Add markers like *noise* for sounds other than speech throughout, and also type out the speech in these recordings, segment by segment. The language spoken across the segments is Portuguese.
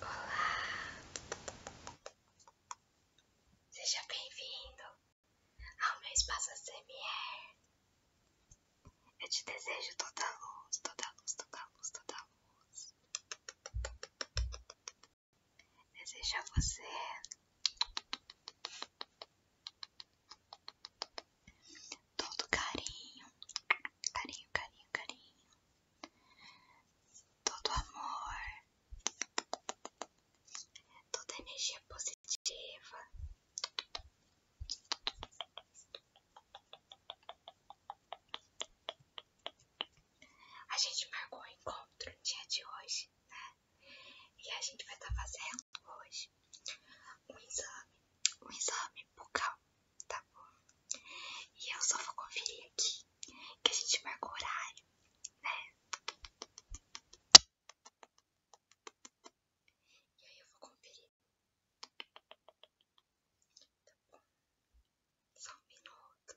Olá! Seja bem-vindo ao meu espaço ACMR. Eu te desejo toda luz, toda luz, toda luz, toda luz. Desejo a você todo carinho, carinho, carinho, carinho todo amor, toda energia positiva. A gente marcou o encontro no dia de hoje, né? E a gente vai estar tá fazendo hoje um exame, um exame bucal Tá bom. E eu só vou conferir aqui que a gente marca o horário, né? E aí eu vou conferir. Tá bom. Só um minuto.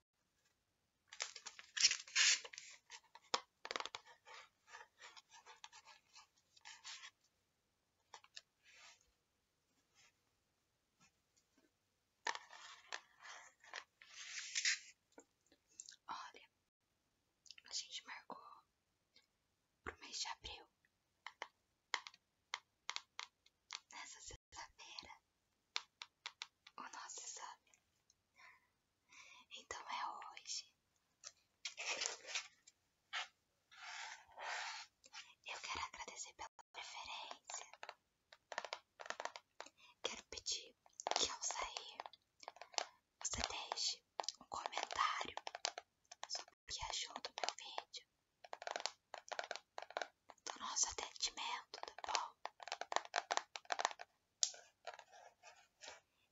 Olha, a gente marcou pro mês de abril. Nessa sexta-feira o nosso exame. Então é hoje. Eu quero agradecer pela preferência. Quero pedir que ao sair você deixe um comentário sobre o que achou do meu vídeo do nosso atendimento, tá bom?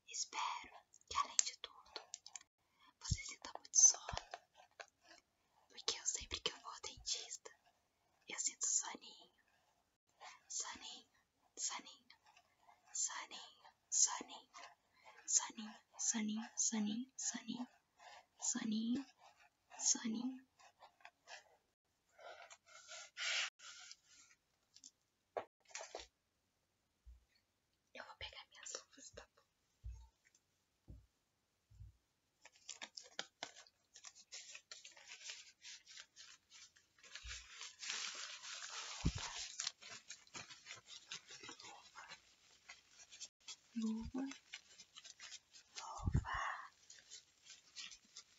Espero que, além de tudo, você sinta muito sono, porque eu sempre que eu vou ao dentista, eu sinto soninho, soninho, soninho, soninho, soninho, soninho, soninho, soninho. soninho. Eu vou pegar minhas luvas, tá bom? Luva, luva, luva,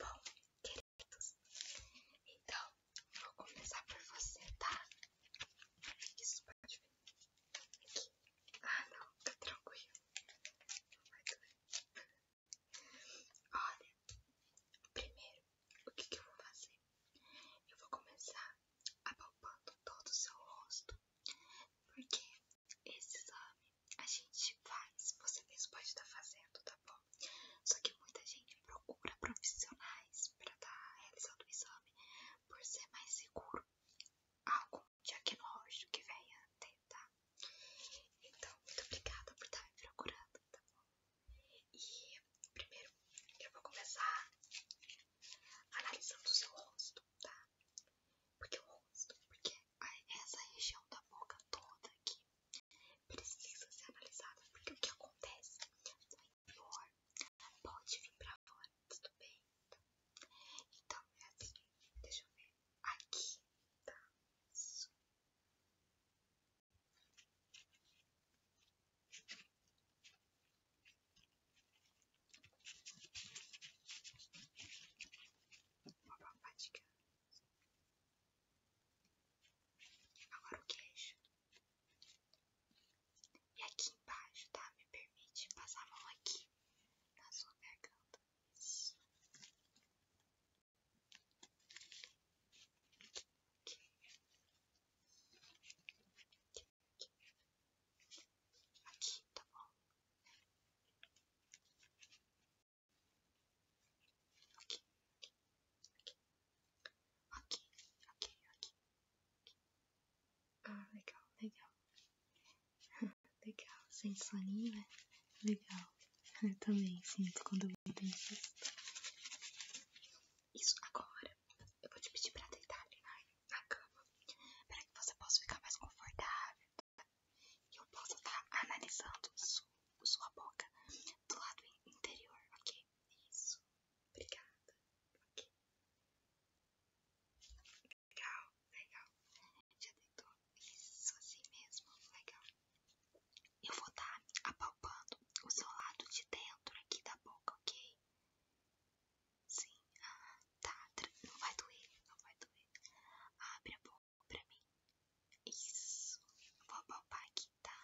Bom, queridos, então eu vou começar por você, tá? Isso pode ver. Aqui. Ah, não, tá tranquilo. Não vai doer. Olha, primeiro, o que, que eu vou fazer? Eu vou começar apalpando todo o seu rosto, porque esse exame a gente faz, você mesmo pode estar tá fazendo, tá bom? Só que muita gente procura profissionais para estar tá realizando o exame por ser mais seguro. Algo de diagnóstico que venha ter, tá? Então, muito obrigada por estar tá me procurando, tá bom? E primeiro eu vou começar analisando o seu rosto, tá? Porque o rosto, porque essa região da boca toda aqui precisa ser analisada. Porque o que acontece no interior pode vir pra fora, tudo bem? Então. então é assim, deixa eu ver. Aqui tá forma fatigada. Agora o queixo. E aqui embaixo, tá? Me permite passar a mão aqui na sua garganta. aqui, tá bom? aqui, aqui, aqui, Ah, legal, legal. *laughs* legal, sente soninho, né? Legal. Eu também sinto quando eu vou dentista. Isso, agora eu vou te pedir para deitar na cama para que você possa ficar mais confortável eu posso estar analisando sua boca do lado interior, ok? Isso. Obrigada. Ok. Legal, legal. Já deitou isso assim mesmo. Legal. Eu vou estar tá apalpando o seu lado de dentro aqui da boca, ok? Sim, ah, tá, não vai doer, não vai doer. Abre a boca pra mim. Isso. Vou poupar aqui, tá?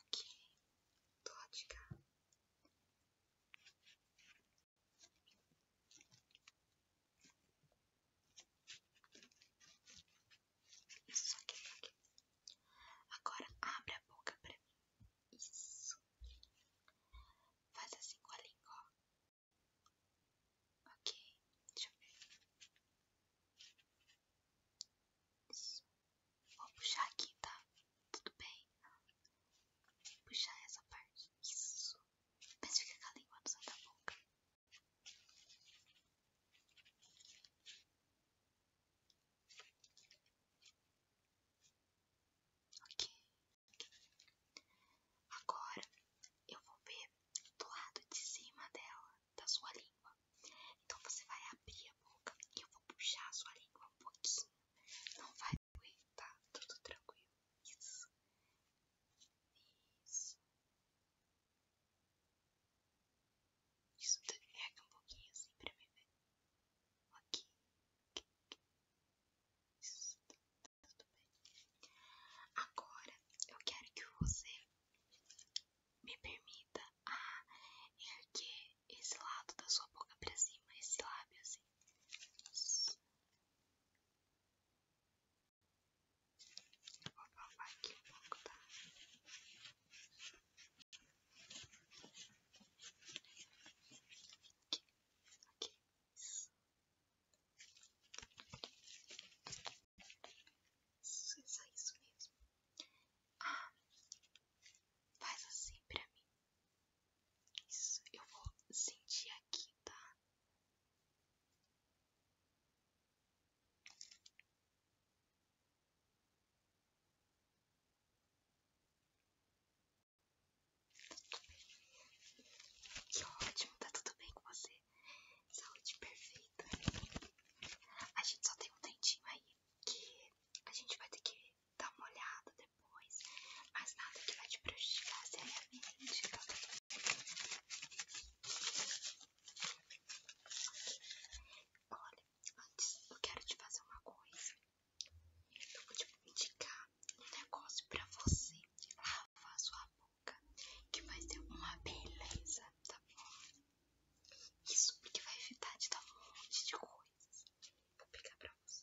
Ok. Tô de cá. Isso, aqui, só Agora abre a boca pra mim. Isso. Faz assim com a língua, ó. Ok, deixa eu ver. Isso. Vou puxar aqui, tá? Tudo bem? Puxar essa parte. Isso. Mas fica com a língua no céu da boca. Ok. Agora eu vou ver do lado de cima dela, da sua língua. Então você vai abrir a boca e eu vou puxar a sua língua um pouquinho. Não vai doer, tá? Tudo tranquilo. Isso. Isso. Isso derrega um pouquinho assim pra mim ver. Né? Aqui. Isso, tá, tá, tudo bem. Agora eu quero que você me permita erguer esse lado da sua boca pra cima, esse lábio assim. Vou babar aqui um pouco, tá? aqui. Isso, isso, é isso mesmo. Ah, faz assim pra mim. Isso, eu vou sentir aqui, tá? Que ótimo, tá tudo bem com você? Saúde perfeita. A gente só tem um dentinho aí que a gente vai ter que dar uma olhada depois, mas nada que vai te prejudicar seriamente, tá bem? Olha, antes eu quero te fazer uma coisa. Eu vou te indicar um negócio pra você lavar sua boca, que vai ser uma beleza, tá bom? Isso porque vai evitar de dar um monte de coisas. Vou pegar pra você.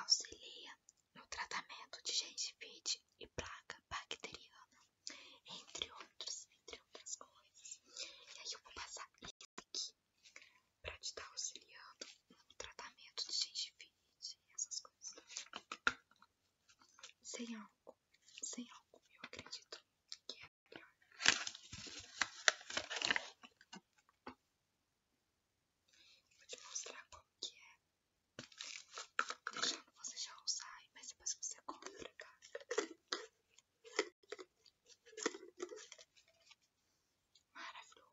Auxilia no tratamento de gente gengivite e placa bacteriana, entre outros, entre outras coisas. E aí eu vou passar isso aqui para te estar tá auxiliando no tratamento de gente gengivite e essas coisas. Sem álcool, sem álcool, eu acredito que é Vou te mostrar como que é. Deixando você já usar, mas depois você compra Maravilhoso.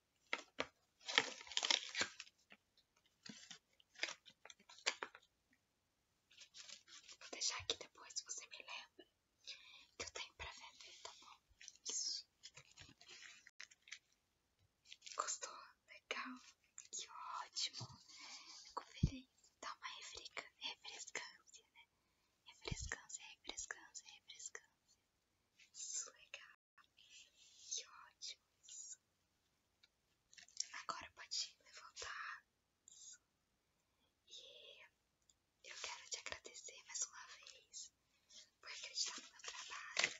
Vou deixar aqui depois, você me lembra que eu tenho pra vender, tá bom? Isso. Gostou? Legal. Que ótimo. Fico Dá uma refresca, refrescância, né? Refrescância, refrescância, refrescância. Isso, legal. Que ótimo Agora pode levantar. E eu quero te agradecer mais uma vez porque acreditar no meu trabalho.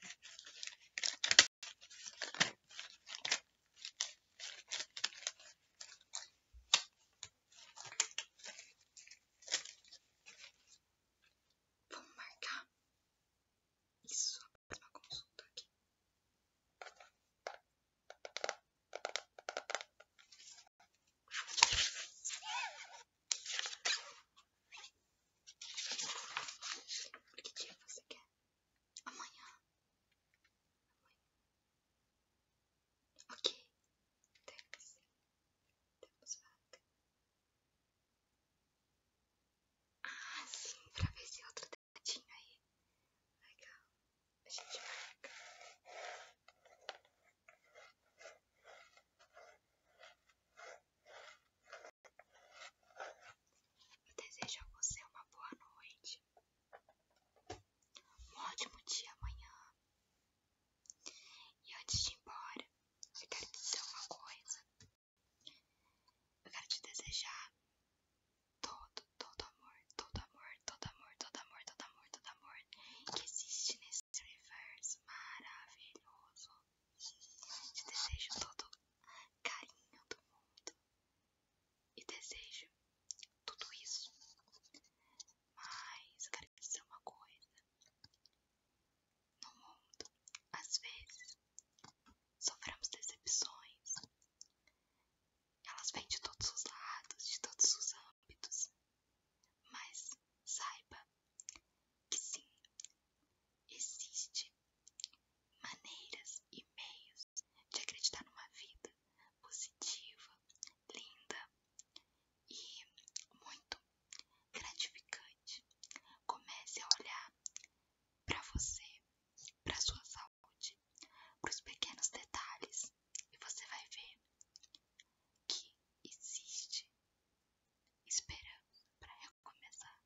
Vamos marcar isso mais consulta aqui. Que dia é você quer? Amanhã. Ok. Temos. Temos vaga. Ah, sim, pra ver esse outro dedinho aí. Legal. A gente marca. Eu desejo a você uma boa noite. Um ótimo dia amanhã. E antes de ir embora, eu quero te dizer uma coisa. Eu quero te desejar todo, todo amor, todo amor, todo amor, todo amor, todo amor, todo amor que existe nesse universo maravilhoso. Te desejo todo carinho do mundo e desejo tudo isso. Mas eu quero te dizer uma coisa no mundo, às vezes, sofremos decepções. Elas vêm de todos os lados, de todos os âmbitos. Mas saiba que sim, existe maneiras e meios de acreditar numa vida positiva, linda e muito gratificante. Comece a olhar para você, para sua saúde, para os pequenos detalhes, e você vai ver que existe esperança para recomeçar.